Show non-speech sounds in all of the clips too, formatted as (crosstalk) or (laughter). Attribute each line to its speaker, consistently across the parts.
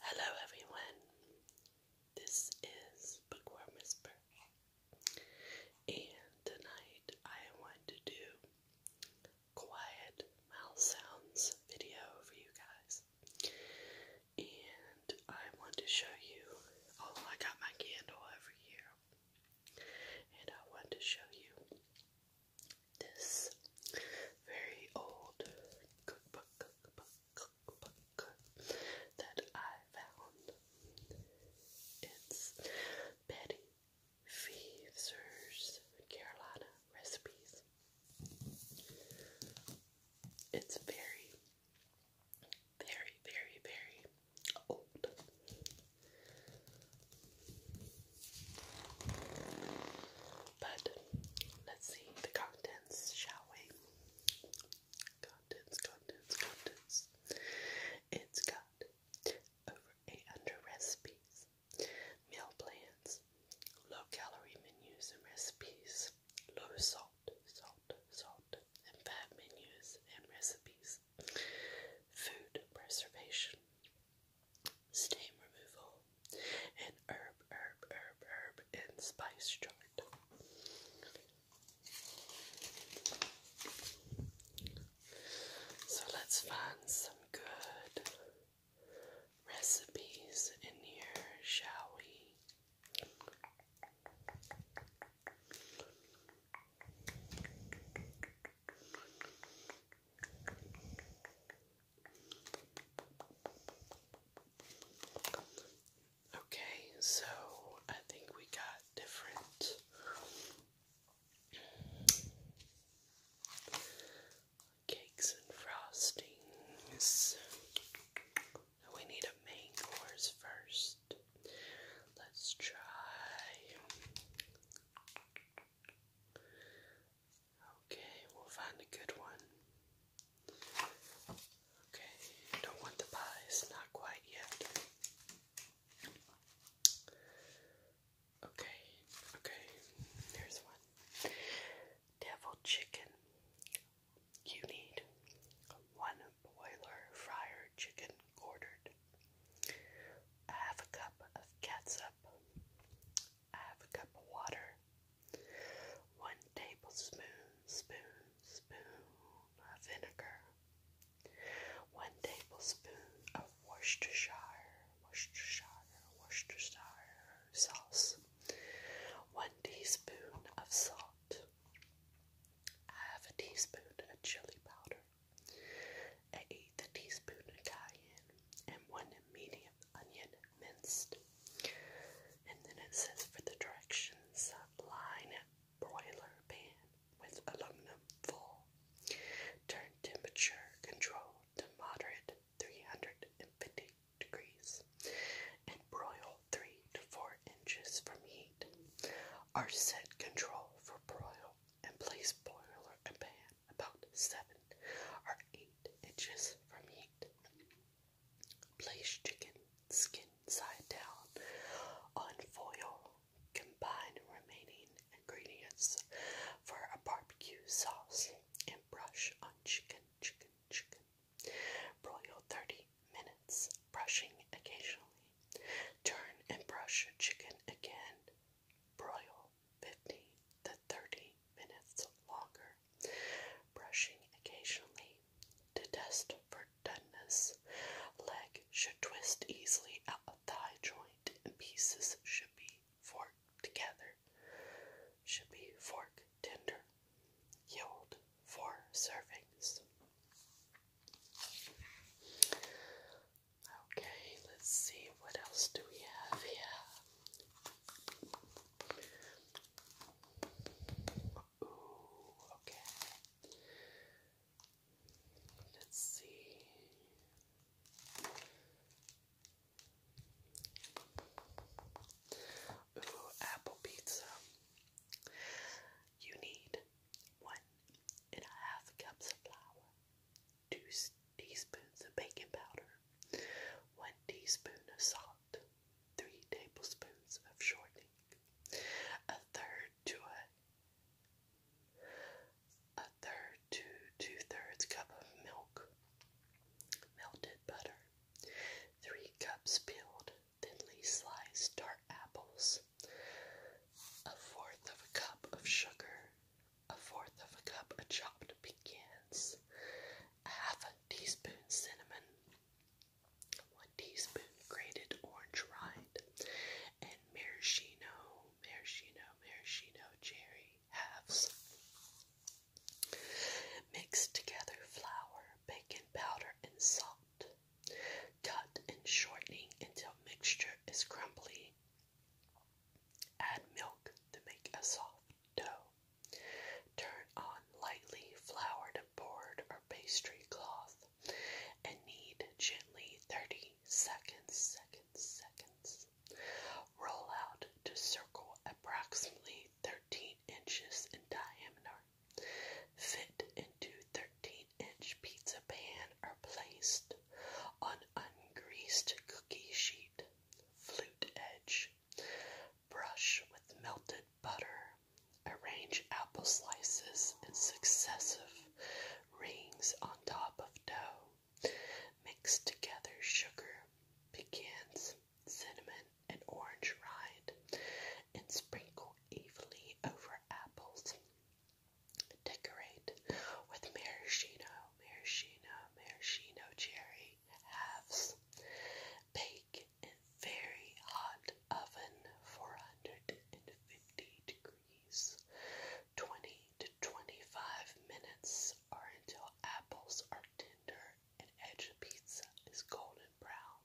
Speaker 1: Hello, everyone. This is Bookworm Whisper, and tonight I want to do quiet mouth sounds video for you guys. And I want to show you. Oh, I got my candle over here, and I want to show you this very old cookbook, that I found. It's Betty Fever's Carolina Recipes. It's very, very, very, very old. But let's see the contents, shall we? Contents, contents, contents. It's got over 800 recipes, meal plans, low calorie menus and recipes, low salt, salt, salt, and fat menus and recipes, food preservation, stain removal, and herb, herb, herb, herb, and spice chart. So let's find some good recipes in here, shall we? Okay, so I think we got different cakes and frostings. We need a main course first. Let's try Okay, we'll find a good one. Okay, don't want the pies, not quite yet. Okay, okay, here's one. Devil chicken. You need one boiler fryer chicken quartered, half a cup of catsup, half a cup of water, 1 tablespoon, of vinegar, 1 tablespoon of Worcestershire, Worcestershire, Worcestershire sauce, 1 teaspoon of salt, half a teaspoon of chili powder, an eighth a teaspoon of cayenne, and 1 medium onion minced. And then it says for the directions, line broiler pan with aluminum full. Turn temperature control to moderate 350 degrees and broil 3 to 4 inches from heat. Our set control for broil and place broiler pan about 7 or 8 feet inches from Place chicken skin side down on foil. Combine remaining ingredients for a barbecue sauce and brush on chicken, chicken, chicken. Broil 30 minutes, brushing occasionally. Turn and brush chicken again. Broil 15 to 30 minutes longer, brushing occasionally. To test for doneness, leg should twist easily out thigh joint pieces should be forked together. Should be fork tender. Yield for servings. Okay, let's see what else do we have here okay. Let's see. Ooh, apple pizza. You need one and a half cups of flour, 2 teaspoons of baking powder, 1 teaspoon of salt, 3 tablespoons of shortening, a third to a, a third to two-thirds cup of milk, melted butter, 3 cups peeled, thinly sliced tart apples, a fourth of a cup of sugar, a fourth of a cup of chopped pecans, a half a teaspoon cinnamon, one teaspoon grated orange rind, and maraschino, maraschino, maraschino cherry halves. Mix together flour, baking powder, and salt. Cut and shortening until mixture is crumbly Add milk to make a soft dough. Turn on lightly floured board or pastry cloth and knead gently 30 seconds, seconds, seconds. Roll out to circle approximately 13 inches in diameter. Fit into 13 inch pizza pan or placed on ungreased cookie sheet flute edge. Brush with melted butter. Arrange apple slices in successive rings on top of dough. Mix together sugar, pecans, cinnamon, and orange rind, and sprinkle evenly over apples. Decorate with maraschino, maraschino, maraschino cherry, halves. Bake in very hot oven 450 degrees. 20 to 25 minutes or until apples are tender and edge of pizza is golden brown.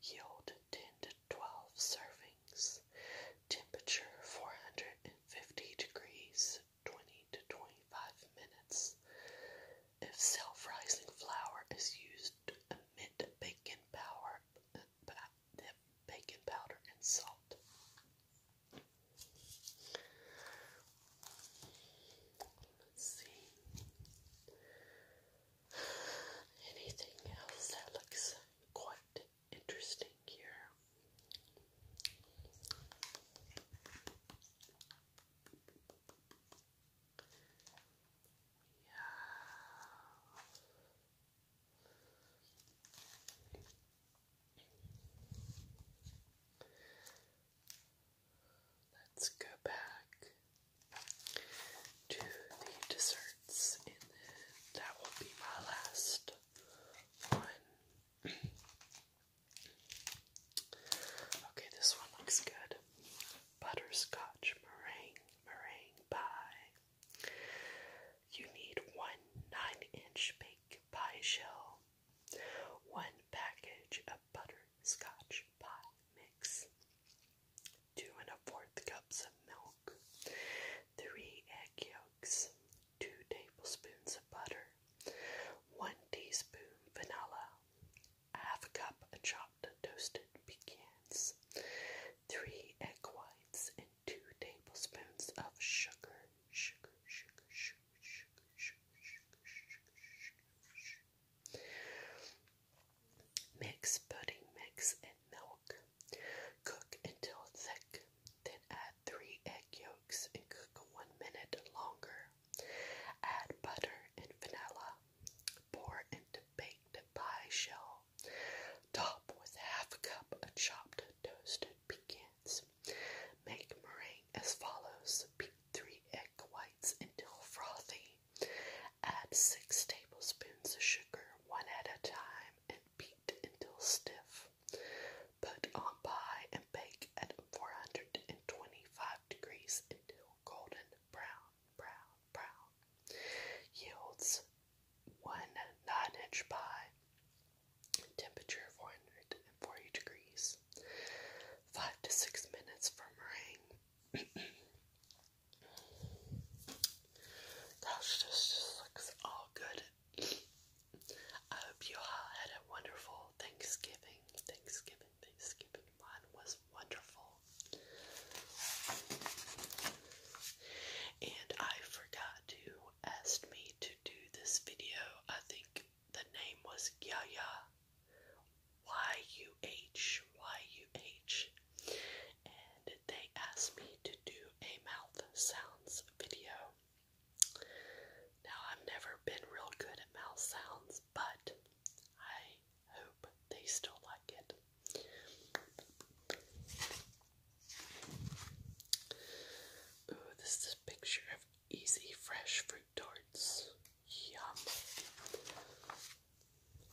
Speaker 1: Yield 10 to 12 servings. Temperature 450 degrees 20 to 25 minutes. If self rising flour is used to baking powder, baking powder and salt. Let's see. Anything else that looks quite interesting here? Let's go back to the desserts, and then that will be my last one. (clears throat) Okay, this one looks good. Butterscotch meringue pie. You need one nine-inch bake pie shell, one package of butterscotch pie mix, two and a fourth cups of milk, three egg yolks yolks, 2 tablespoons of butter, 1 teaspoon vanilla, half a cup of chopped toasted pecans, 3 egg whites, and 2 tablespoons of sugar. Sugar, sugar, sugar, sugar, sugar, sugar, sugar, sugar, sugar. Mix pudding mix and milk. Cook until thick. Then add three egg yolks and cook one minute longer. Add butter and vanilla. Pour into baked pie shell. Top with half a cup of chopped toasted pecans. Make meringue as follows. Beat three egg whites until frothy. Add six tablespoons of sugar, one at a time, and beat until stiff. Put on pie and bake at 425 degrees until golden brown, brown, brown. Yields one 9-inch pie. Temperature 440 degrees. 5 to 6 minutes from meringue. (clears throat) Gosh, this looks all good I hope you all had a wonderful Thanksgiving. Thanksgiving, Thanksgiving. Mine was wonderful. And I forgot to ask me to do this video. I think the name was Yaya. Y-U-H. Y-U-H. And they asked me to do a mouth sounds video. Now, I've never been real good at mouth sounds, but I hope they still like it. Ooh, this is a picture of easy fresh fruit tarts. Yum.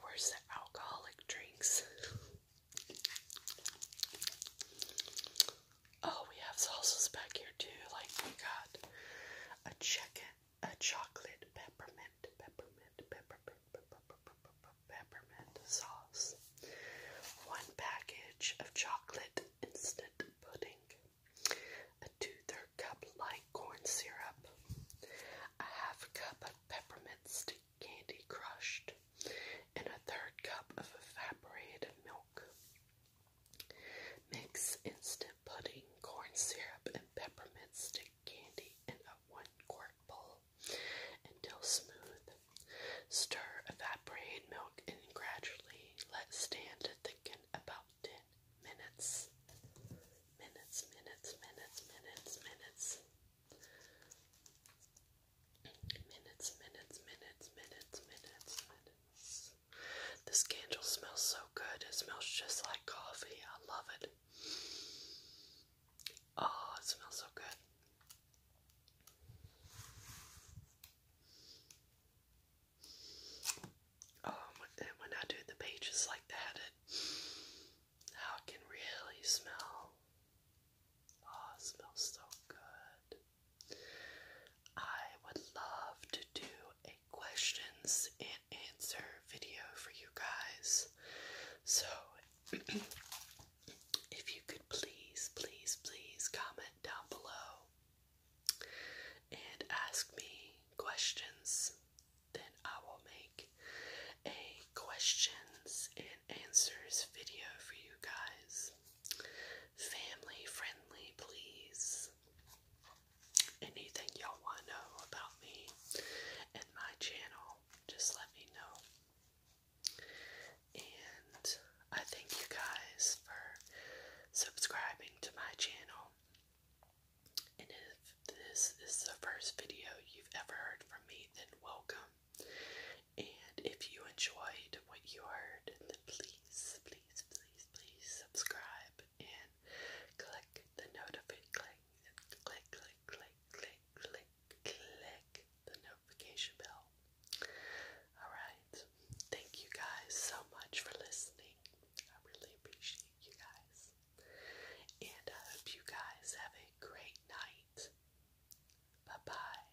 Speaker 1: Where's the alcoholic drinks? (laughs) Oh, we have sauces back here too. Like we got a chicken, a chocolate peppermint, peppermint, peppermint, peppermint, peppermint sauce. One package of chocolate instant pudding, a two-third cup light corn syrup, a half cup of peppermint stick candy crushed, and a third cup of evaporated milk. Mix instant pudding, corn syrup, and peppermint stick candy in a one quart bowl until smooth. Stir evaporated milk and gradually let stand to thicken about 10 minutes. Minutes, minutes, minutes, minutes, minutes. Minutes, minutes, minutes, minutes, minutes, minutes. This candle smells so good. It smells just like coffee. I love it. Oh, it smells so good. Oh, and when I do the pages like that, it how it can really smell. Oh, smells so good. I would love to do a questions and answer video for you guys. So, (clears throat) if you could please, please, please comment down below and ask me questions, then I will make a questions and answers video for you guys family friendly, please. Anything y'all want to know about me and my channel, just let me know. And I thank you guys for subscribing to my channel. And if this is the first video you've ever heard from me, then welcome. And if you enjoyed what you heard, then please, please, please, please subscribe and click the notification. Click, click, click, click, click, click, click the notification bell. Alright, thank you guys so much for listening. I really appreciate you guys. And I hope you guys have a great night. Bye bye.